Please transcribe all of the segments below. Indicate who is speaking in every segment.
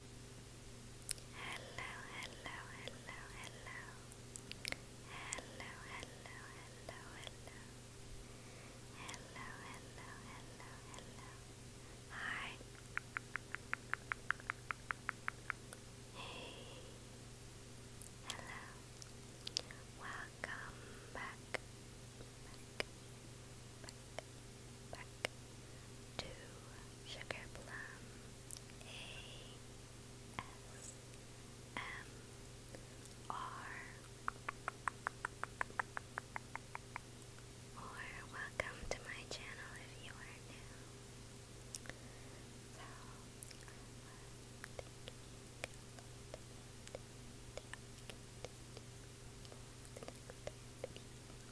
Speaker 1: Hello, hello, hello, hello. Hello, hello, hello, hello. Hello, hello, Hi. Hey. Hello. Welcome Back back to Sugar A S M R or welcome to my channel if you are new. Thank you.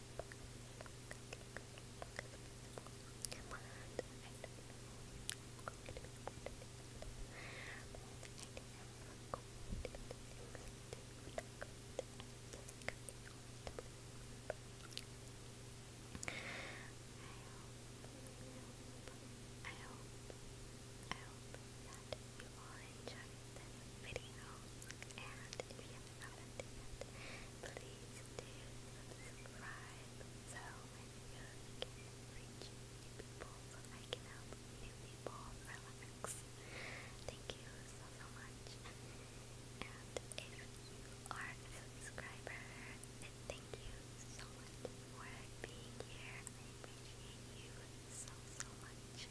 Speaker 1: that you all enjoyed this video and please do subscribe so many can reach new people so I can help new people Thank you so much. And if you are a subscriber, thank you so much for being here. I appreciate you so so much.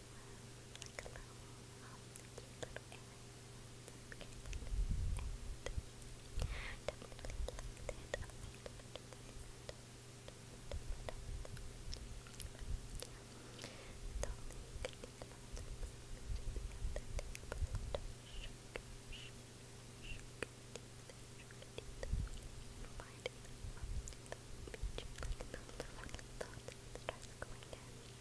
Speaker 1: like a little, um, cute little errands. Okay, and definitely liked it a little bit. So, Find it on the beach, like the, the, the, the, the stress going down.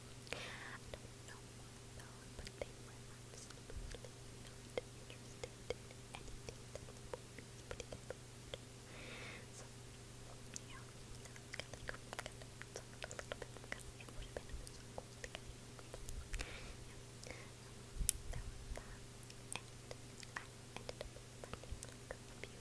Speaker 1: I don't know why though, but they were absolutely not interested in anything that would be pretty good. So, yeah, I got like, got it a little bit because it would have been so cool to get it. Yeah, um, there was that, and I ended up finding like a few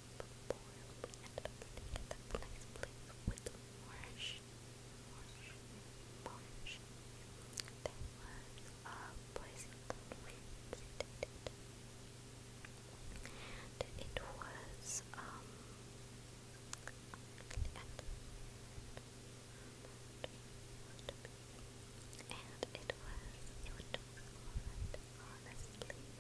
Speaker 1: form and update that place with marsh, marsh, marsh. There was a place that we visited. It was, um, and and it was, it was alright, honestly.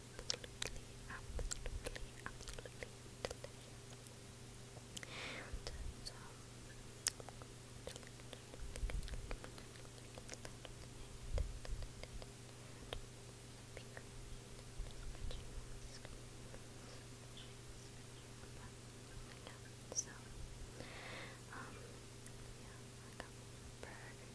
Speaker 1: absolutely, absolutely, absolutely delicious. So, so, um, yeah, I got burger eating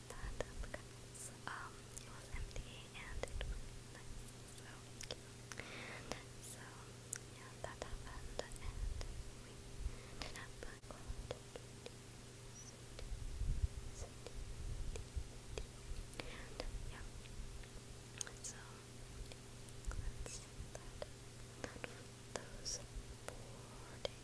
Speaker 1: with that because um it was empty and it was nice. So yeah, that happened and and yeah. So that. That those four days. Four days.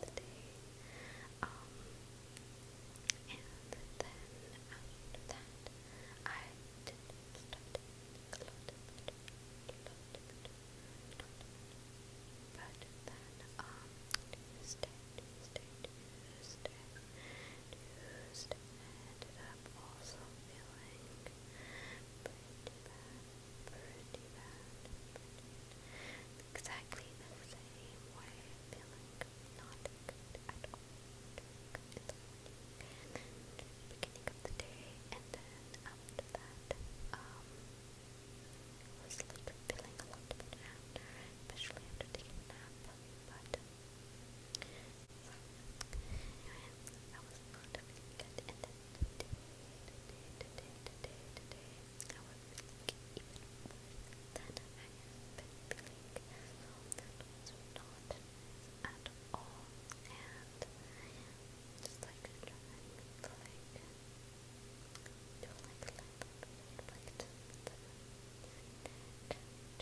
Speaker 1: the day. and then after that, I did start a lot, but then um, Tuesday, Tuesday, Tuesday, Tuesday, I ended up also feeling pretty bad, pretty bad, pretty bad exactly the same way, feeling not good at all during the morning and the beginning of the day, and then after that, um, I was feeling a lot better, especially after taking a nap, but so, anyway, was not feeling good, I would think even worse than I have been so that was not at all, and just like trying to like, do like like to I got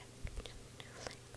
Speaker 1: to do like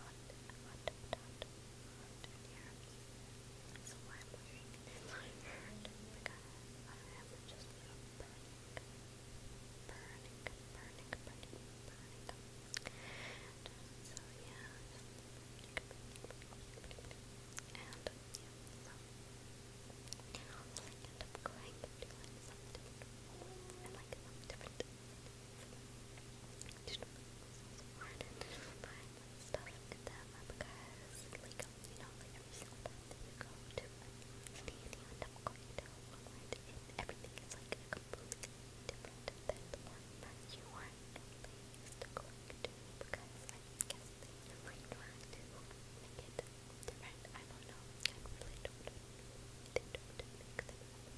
Speaker 1: hot, hot, hot, hot in here. I'm wearing this shirt because I am just you know, burning, burning, burning, burning, burning. And so yeah, just burning, burning, burning. and yeah, so I'll like end up going to like some different and like some different. Just so smart. But stuff like that because, like, you know, like every single time you go to a state, you end going to a Walmart everything is like completely different than the one that you are used to going to because I guess they are like trying to make it different. I don't know. I really don't.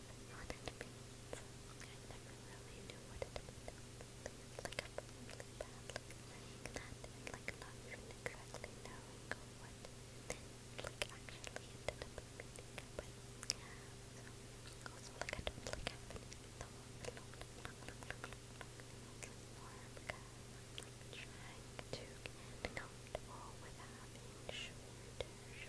Speaker 1: what it means. I never really knew what it meant. Like a really bad, like that, and like not even exactly knowing what like actually ended up meaning. But so also like I don't like having it so long, long, long, long, long, because I'm like trying to get comfortable with having shorter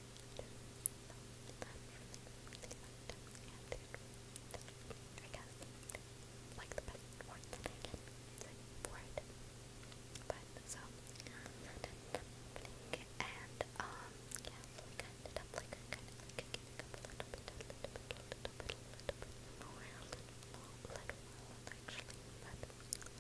Speaker 1: I guess, like the best words that I can say for it. But, so, that ended up happening, and, um, yeah, so like, I ended up, like, kind of, like, getting up a little bit, a little bit, a little bit, a little bit, a little bit more, a little, a little, actually, but,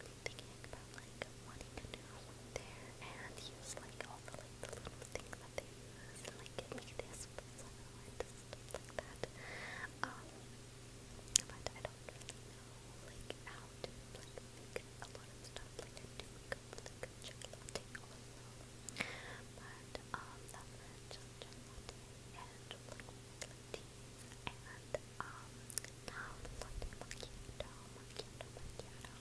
Speaker 1: really thinking about like wanting to do there and use like all the little things that they use like give this and stuff like that. but I don't know like how to like make a lot of stuff like I do um, now looked at macchiato, macchiato, macchiato.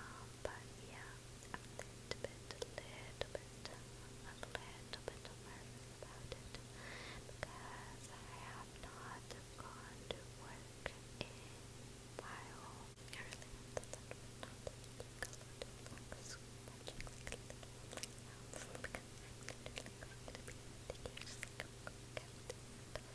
Speaker 1: Um, but yeah, a little bit, little bit, a little bit nervous about it because I have not gone to work in a while. I really want to learn, but not that I think a lot of like super like because I'm literally going to be taking just like a quick out and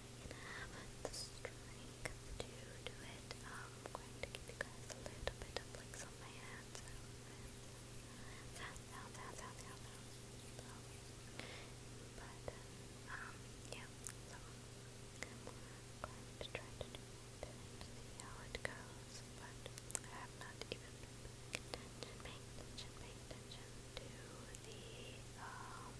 Speaker 1: can have the strength to do it. I'm going to give you guys a little bit of licks on my hands. But, um, yeah, I'm going to try to do it and see how it goes. But I have not even been attention, paying attention, paying attention to the, um,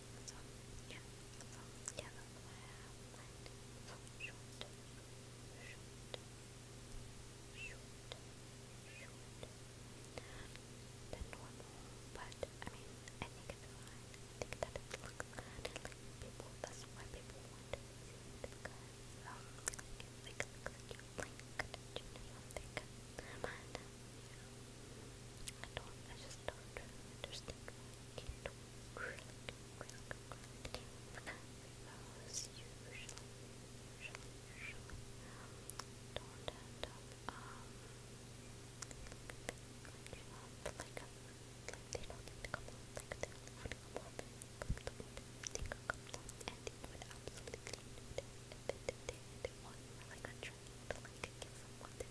Speaker 1: So, yeah, so, yeah, but I mean, I think it's fine. I think that it looks like, people, that's why people want to see it because, um, it, like, looks like you, like, touching or something. But, I don't, I just don't really understand I can't grill it, grill it, grill usually, usually, usually don't end up, um, like, up, like, like they don't think to come on, like they don't want to come on, but the moment they come on and they would absolutely do it, and they, they, they, they want, like, a drink to, like, give someone that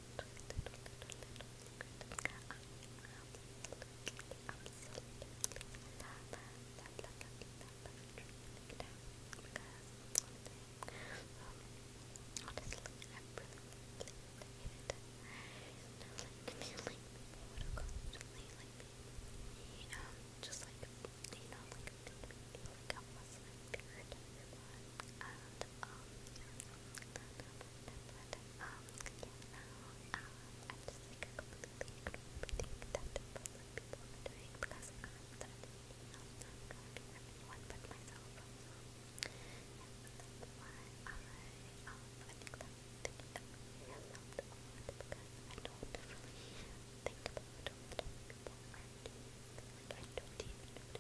Speaker 1: little, little, little secret. I absolutely, absolutely love, love, love, love, love Trinidad because one day, um, honestly, I really, really hated it. Like, like, people would constantly, like, be, um, just like, you know, like, like I was like, weird everyone. And um, but um, yeah, now um, I'm just like completely ignoring that what like, people are doing because I'm certainly not going for anyone but myself. So yeah, that's why I um I think that thinking out loud a lot because I don't really think about what people are doing. Like I don't even know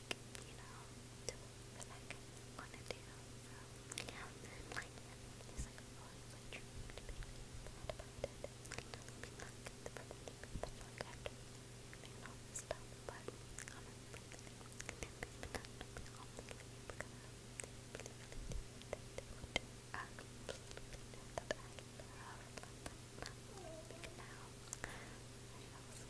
Speaker 1: like, you know, do what like I want to do. So, yeah, like, it's like, oh, it's like dream to be bad about it. Like, doesn't be like the perfect people that you look after and all this stuff, but honestly, maybe not be honestly because they really think that they would do absolutely that I but not big now. I also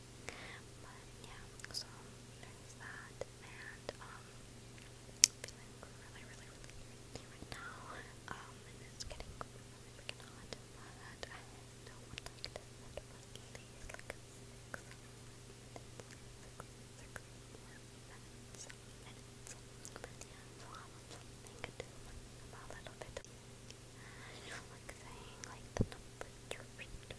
Speaker 1: But yeah, so there's that, and um, feeling really, really, really right now. Um, and it's getting really freaking hot, but I no one liked it. But these like six minutes, six, six more minutes, minutes. But yeah, so I'll have something to do about a little bit. I you know, like saying like the number to read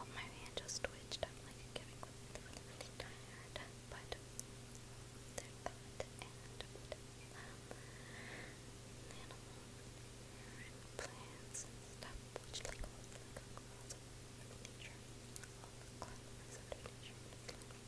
Speaker 1: Oh, my hand just twitched. i like giving really tired, but animals plants stuff, which like all the like, nature, all the um, climate, nature,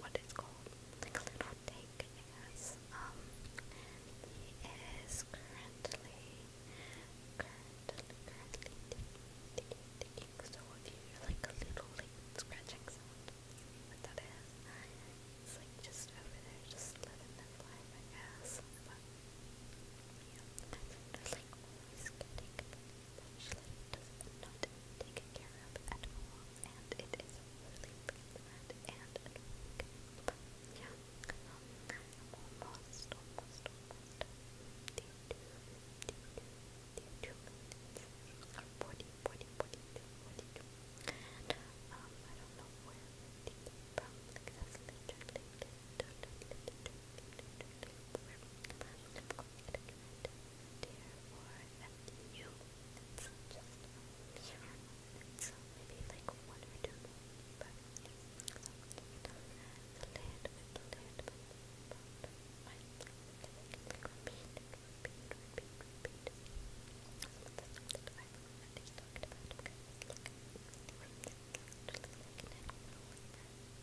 Speaker 1: what it's called, like a little tank, I Um, he is currently, currently, currently digging, digging, so if you hear like a little like scratching sound, what that is. It's like just over there, just living his life, flashlight is not taken care of at and it is really bad and Yeah, I don't know judgment, therefore, you. just, and so maybe like one or two more, but yeah. So, the lid with the lid, but, but, right. Repeat, repeat, repeat, repeat. Some of the stuff that I've already talked about, because like, just like an animal, like that.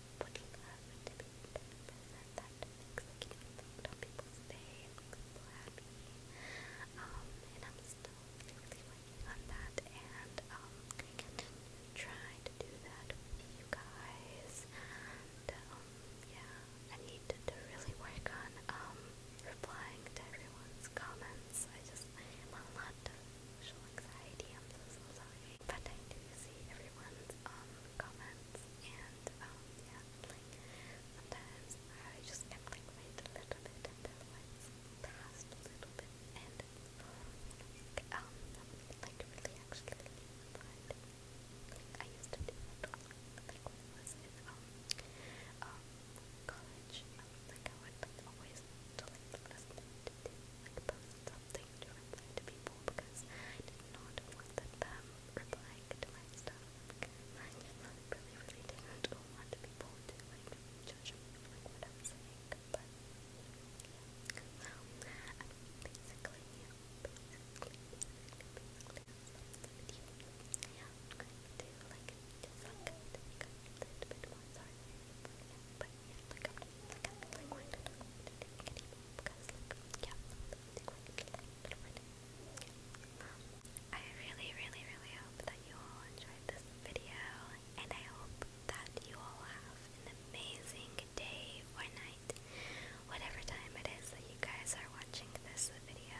Speaker 1: putting love into people's purpose and that makes like an makes people happy. Um, and I'm still really working on that and um trying to do that with you guys. um yeah, I need to, really work on um replying to everyone's comments. I just am a lot of social anxiety, I'm so sorry but I do see everyone's um, comments and um, yeah, like sometimes I just like wait a little bit until it's past a little bit and um like really actually like I used to do it like when I was in um, college like I would always to like listen to like posts something to reply to people because I did not want them replying to my stuff. I really, really didn't want people to like judge me for like what I was saying, but yeah. So um, basically, yeah, basically, basically, basically, yeah, I'm going to like like to make a little bit more sorry, but yeah, but yeah, like i like, I really, really, really hope that you all enjoyed this video, and I hope that you all have an amazing day or night, whatever time it is that you guys are watching this video.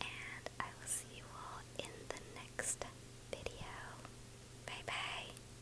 Speaker 1: And I will see you all in the next video. Bye bye.